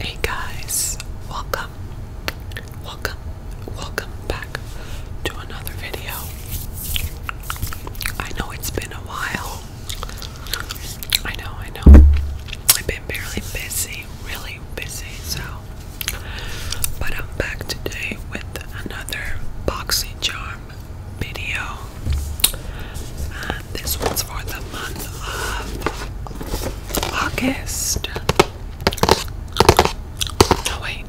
Hey guys, welcome, welcome, welcome back to another video. I know it's been a while. I know, I know. I've been barely busy, really busy, so. But I'm back today with another boxing charm video. this one's for the month of August. No, wait,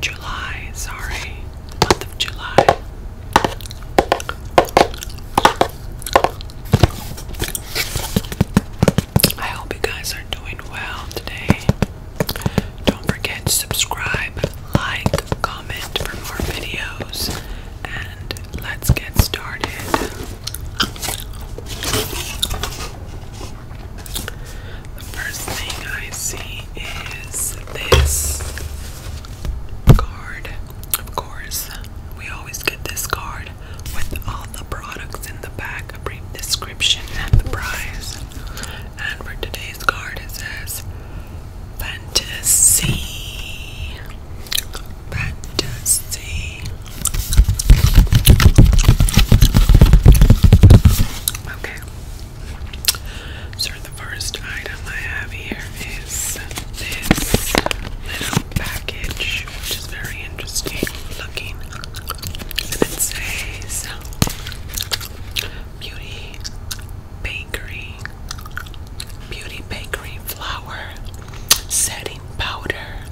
July, sorry. Month of July. I hope you guys are doing well today. Don't forget to subscribe, like, comment for more videos, and let's get started. The first thing I see is this card. Of course, we always get this card with all the products in the back, brief description, and the price. And for today's card, it says fantasy. Fantasy. Okay. So the first item I have here is this little package, which is very interesting looking. And it says Beauty Bakery, Beauty Bakery flour, setting powder.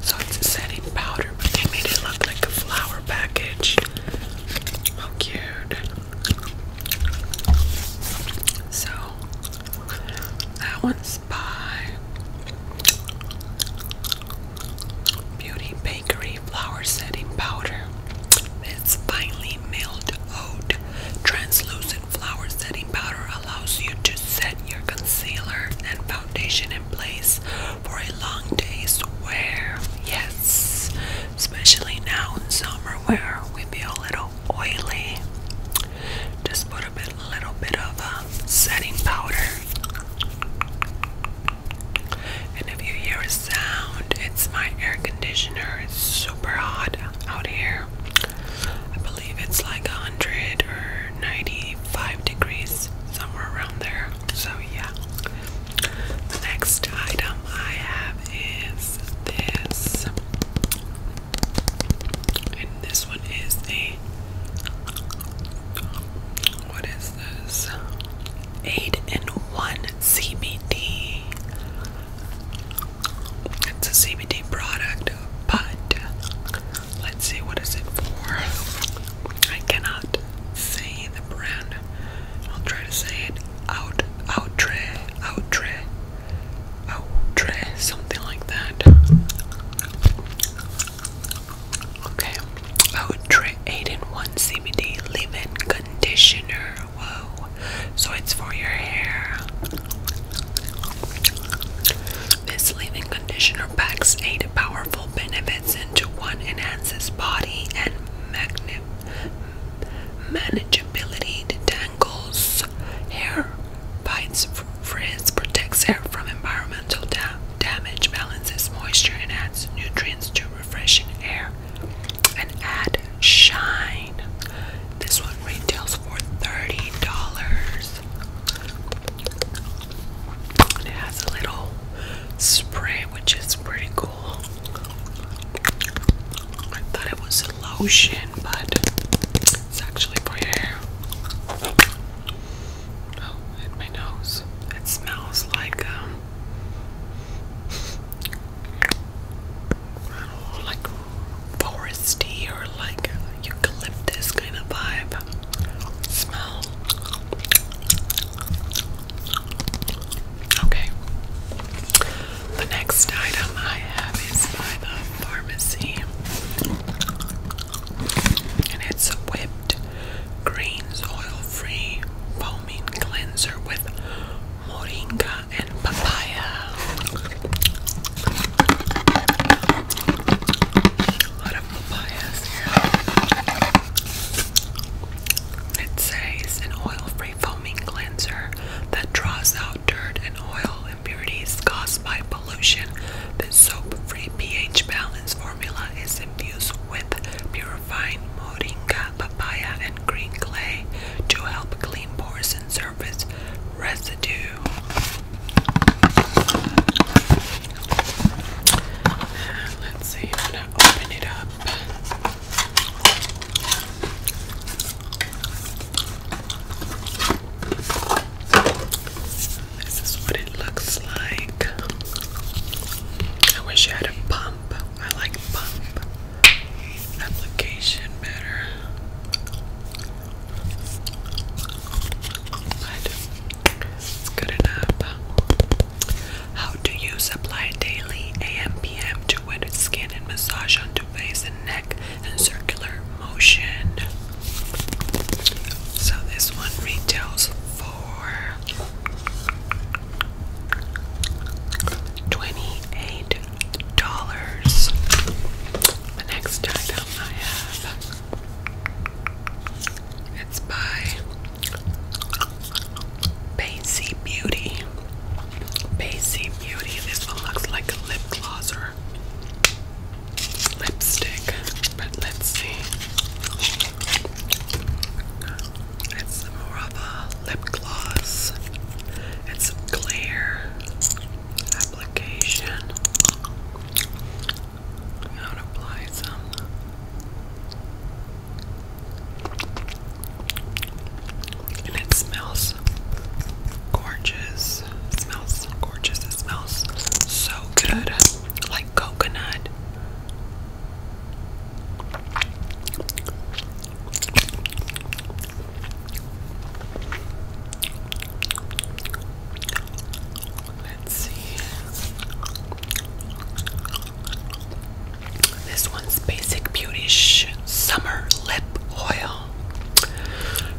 So it's a setting powder, but they made it look like a flour package. How cute. So that one's by Beauty Bakery Flour Setting Powder. It's finely milled oat translucent flour setting powder allows you to set your concealer and foundation in place for a long day's wear. Yes, especially now in summer where we feel a little oily. Just put a bit, little bit of uh, setting powder and if you hear a sound, it's my air conditioner. It's super hot out here. I believe it's like 100 or 95 degrees, somewhere around there. So, yeah. The next item I have is this. And this one is a what is this? 8 and 1 CBD. It's a CBD product, but let's see what is it for. I cannot say the brand. I'll try to say it outre outre outre something like that. Okay. Oh, 8 in 1 CBD leave in conditioner. Whoa. So it's for your hair. This leave in conditioner packs 8 powerful benefits into one enhances body and manageability, detangles hair, bites frizz, protects hair from environmental damage. Damage balances moisture and adds nutrients to refreshing air. And add shine. This one retails for $30. it has a little spray, which is pretty cool. I thought it was a lotion, but it's actually for your hair. Oh, hit my nose. It smells like um like foresty or like eucalyptus kind of vibe smell. Okay. The next item I have is by the pharmacy and it's whipped greens oil-free foaming cleanser with moringa and papaya. A lot of papayas here. It says an oil-free foaming cleanser that draws out dirt and oil impurities caused by pollution, the soap-free pH balance formula is infused with purifying moringa, papaya, and green clay to help clean pores and surface residue. Let's see, I'm open it up. This is what it looks like. I wish I had a pump. I like pump application better. But it's good enough. How do you apply daily AM PM to wet skin and massage onto face and neck circular motion. So this one retails for twenty-eight dollars. The next item I have it's by Basie Beauty. Basie Beauty. This one looks like a lip glosser lipstick, but let's see. It's more of a lip gloss. It's a clear application. apply some and it smells gorgeous. smells gorgeous. It smells so good, like coconut. Let's see. This one's Basic Beauty Summer Lip Oil.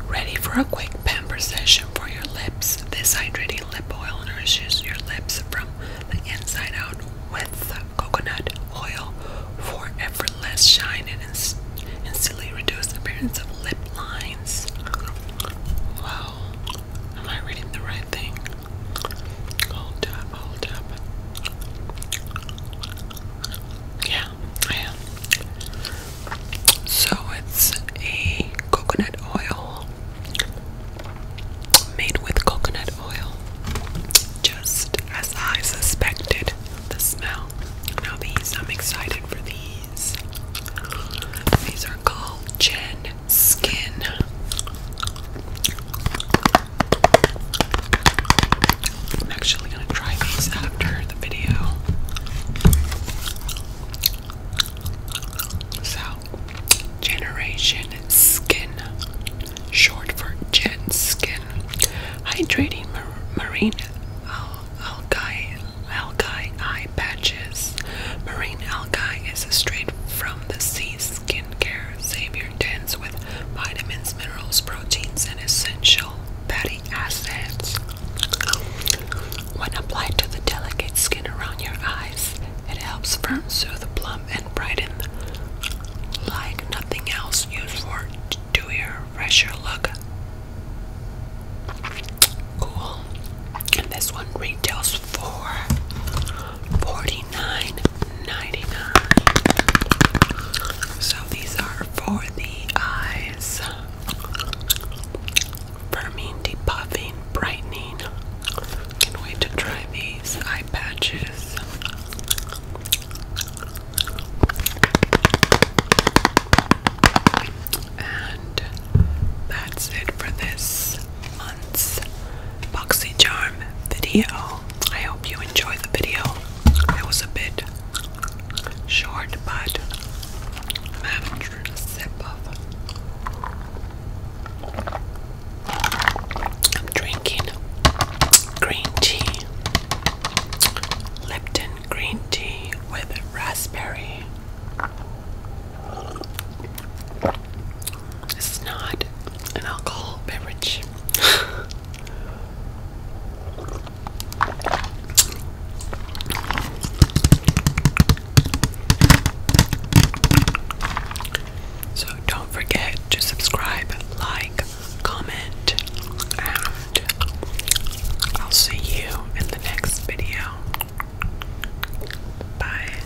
Ready for a quick pamper session for your lips. This hydrating lip oil nourishes your lips from the inside out with coconut oil for effortless shine and instantly reduce appearance of lip lines. Wow. Am I reading the right thing? Hold up, hold up. Yeah, so it's a coconut oil made with coconut oil, just as I suspected the smell. Now, these, I'm excited for these. These are called Gen Skin. I'm actually gonna try these after the video. So, Generation Skin, short for Gen Skin, hydrating mar marine algae, algae eye patches. Marine algae is a straight from the sea skincare savior dense with vitamins, minerals, proteins, and essential fatty acids. When applied to the delicate skin around your eyes, it helps firm, soothe, plump, and brighten like nothing else. Used for do your fresher look. Cool. And this one retails for 49 $49.99. So these are for the eyes. Firming, depuffing, brightening. Can't wait to try these eye patches. And that's it for this month's BoxyCharm video. I hope you enjoy the video. It was a bit short, but I'm drinking green tea, Lipton green tea with raspberry. This is not an alcohol beverage. so don't forget to subscribe, like, comment, and I'll see you in the next video. Bye.